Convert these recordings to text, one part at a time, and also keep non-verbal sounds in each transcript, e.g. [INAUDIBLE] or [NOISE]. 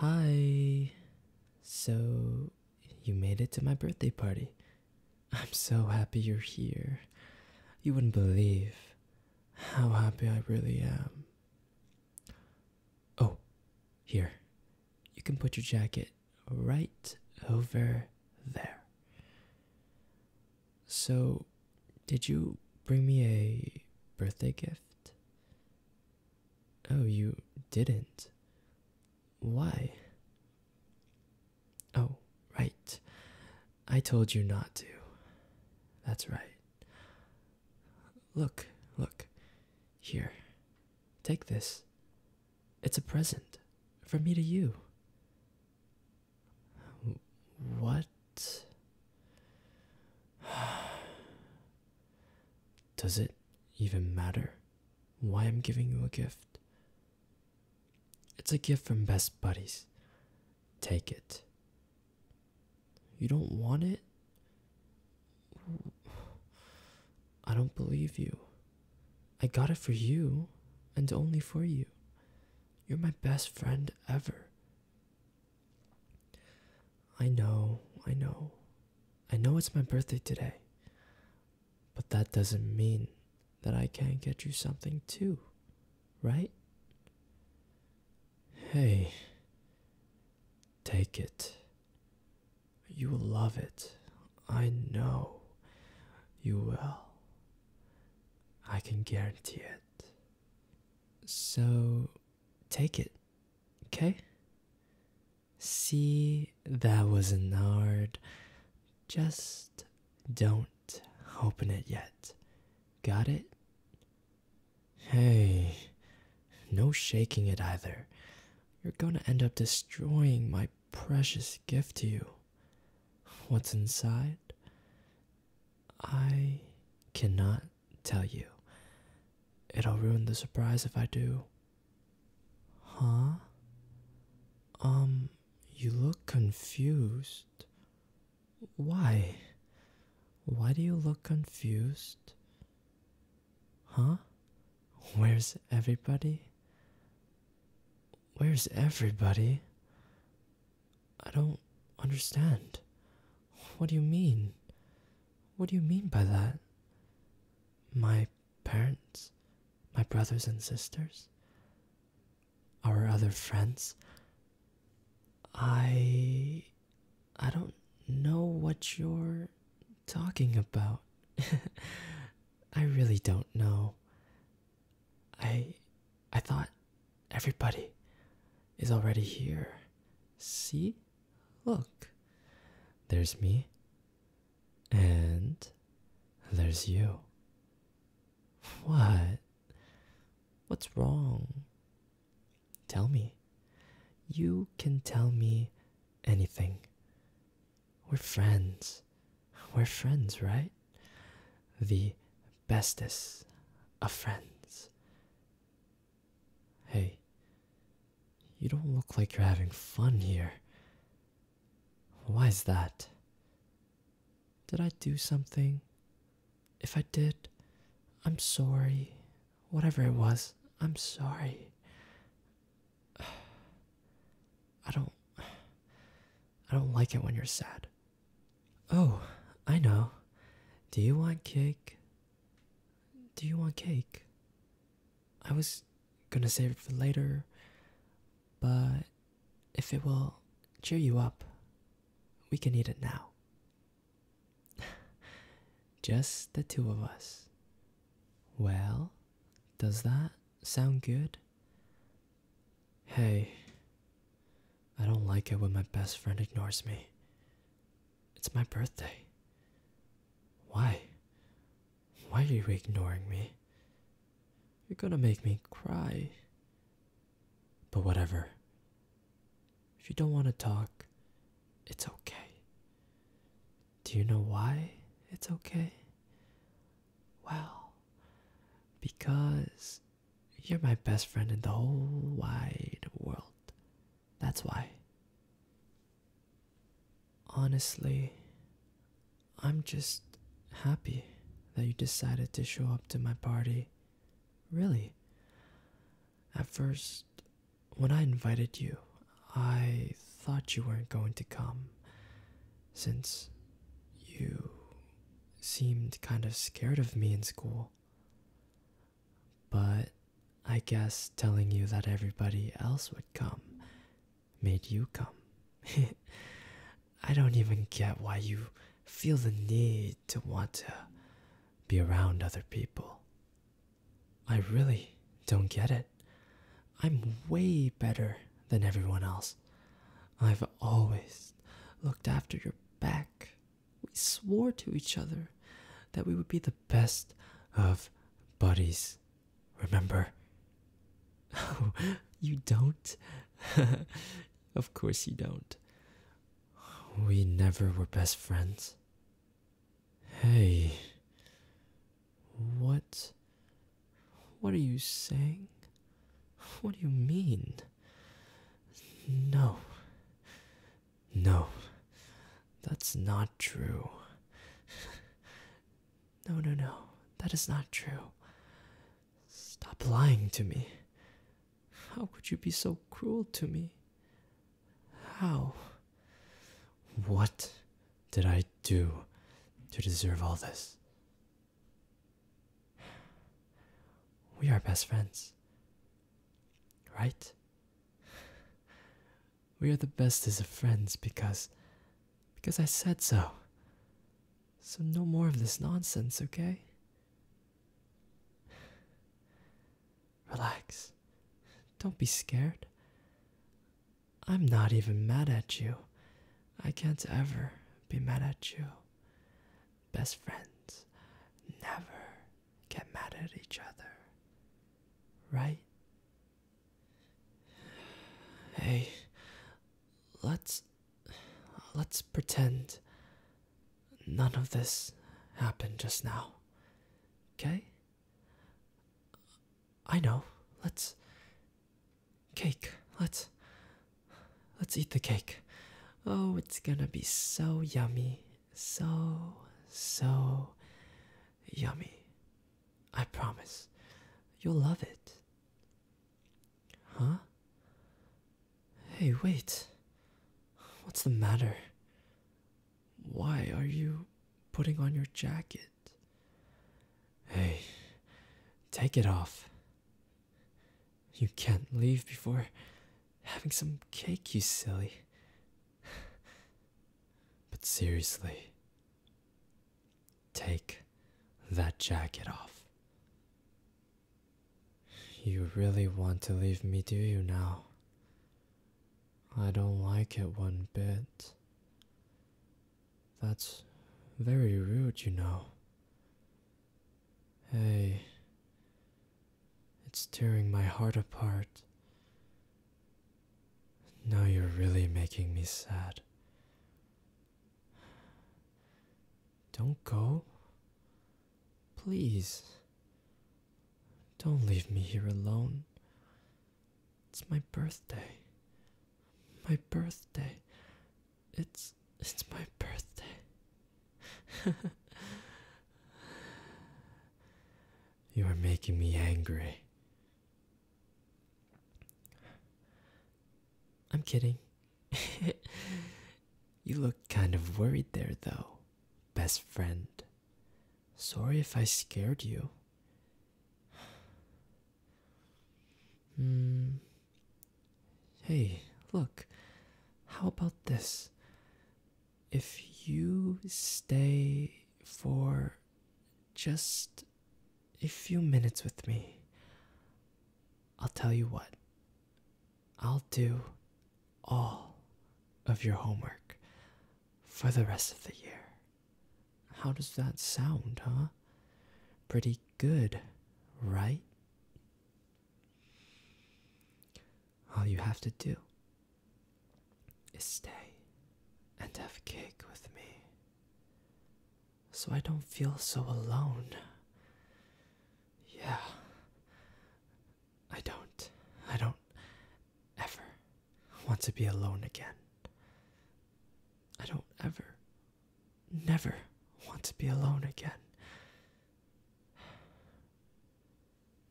Hi. So, you made it to my birthday party. I'm so happy you're here. You wouldn't believe how happy I really am. Oh, here. You can put your jacket right over there. So, did you bring me a birthday gift? Oh, you didn't? Why? Oh, right. I told you not to. That's right. Look, look. Here. Take this. It's a present from me to you. What? [SIGHS] [SIGHS] Does it even matter why I'm giving you a gift? It's a gift from Best Buddies. Take it. You don't want it? I don't believe you. I got it for you and only for you. You're my best friend ever. I know, I know. I know it's my birthday today. But that doesn't mean that I can't get you something too, right? Hey, take it. You will love it. I know you will. I can guarantee it. So, take it. Okay? See, that was an art. Just don't open it yet. Got it? Hey, no shaking it either. You're gonna end up destroying my precious gift to you. What's inside? I cannot tell you. It'll ruin the surprise if I do. Huh? Um, you look confused. Why? Why do you look confused? Huh? Where's everybody? Where's everybody? I don't understand. What do you mean? What do you mean by that? My parents, my brothers and sisters, our other friends. I. I don't know what you're talking about. [LAUGHS] I really don't know. I. I thought Everybody is already here. See? Look. There's me. And there's you. What? What's wrong? Tell me. You can tell me anything. We're friends. We're friends, right? The bestest of friends. Hey, you don't look like you're having fun here. Why's that? Did I do something? If I did, I'm sorry. Whatever it was, I'm sorry. [SIGHS] I don't [SIGHS] I don't like it when you're sad. Oh, I know. Do you want cake? Do you want cake? I was gonna save it for later, but if it will cheer you up, we can eat it now. [LAUGHS] Just the two of us. Well, does that sound good? Hey, I don't like it when my best friend ignores me. It's my birthday. Why? Why are you ignoring me? You're gonna make me cry. But whatever. If you don't want to talk, it's okay. Do you know why it's okay? Well, because you're my best friend in the whole wide world. That's why. Honestly, I'm just happy that you decided to show up to my party. Really. At first, when I invited you, I thought you weren't going to come since you seemed kind of scared of me in school. But I guess telling you that everybody else would come made you come. [LAUGHS] I don't even get why you feel the need to want to be around other people. I really don't get it. I'm way better than everyone else. I've always looked after your back. We swore to each other that we would be the best of buddies. Remember? Oh, [LAUGHS] you don't? [LAUGHS] of course you don't. We never were best friends. Hey, what what are you saying? What do you mean? No. No. That's not true. No, no, no. That is not true. Stop lying to me. How could you be so cruel to me? How? What did I do to deserve all this? We are best friends. Right? We are the bestest of friends because because I said so. So no more of this nonsense, okay? Relax. Don't be scared. I'm not even mad at you. I can't ever be mad at you. Best friends never get mad at each other. Right? Hey, let's let's pretend none of this happened just now. Okay? I know. Let's Cake. Let's let's eat the cake. Oh, it's gonna be so yummy. So so yummy. I promise. You'll love it. Huh? Hey, wait. What's the matter? Why are you putting on your jacket? Hey, take it off. You can't leave before having some cake, you silly. But seriously, take that jacket off. You really want to leave me, do you now? I don't like it one bit. That's very rude, you know. Hey, it's tearing my heart apart. Now you're really making me sad. Don't go. Please. Don't leave me here alone. It's my birthday my birthday. It's it's my birthday. [LAUGHS] you are making me angry. I'm kidding. [LAUGHS] you look kind of worried there, though, best friend. Sorry if I scared you. Hmm. Hey, look, how about this? If you stay for just a few minutes with me, I'll tell you what, I'll do all of your homework for the rest of the year. How does that sound, huh? Pretty good, right? All you have to do is stay and have cake with me so I don't feel so alone. Yeah. I don't. I don't ever want to be alone again. I don't ever, never want to be alone again.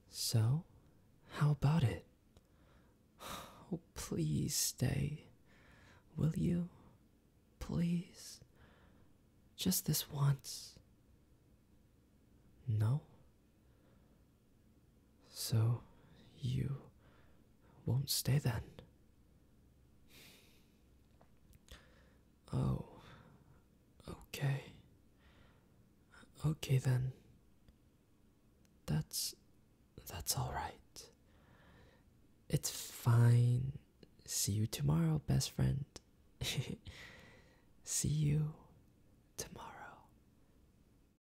So, how about it? [SIGHS] Oh, please stay. Will you? Please? Just this once. No? So, you won't stay then? Oh, okay. Okay then. That's. that's alright. It's fine. See you tomorrow, best friend. [LAUGHS] See you tomorrow.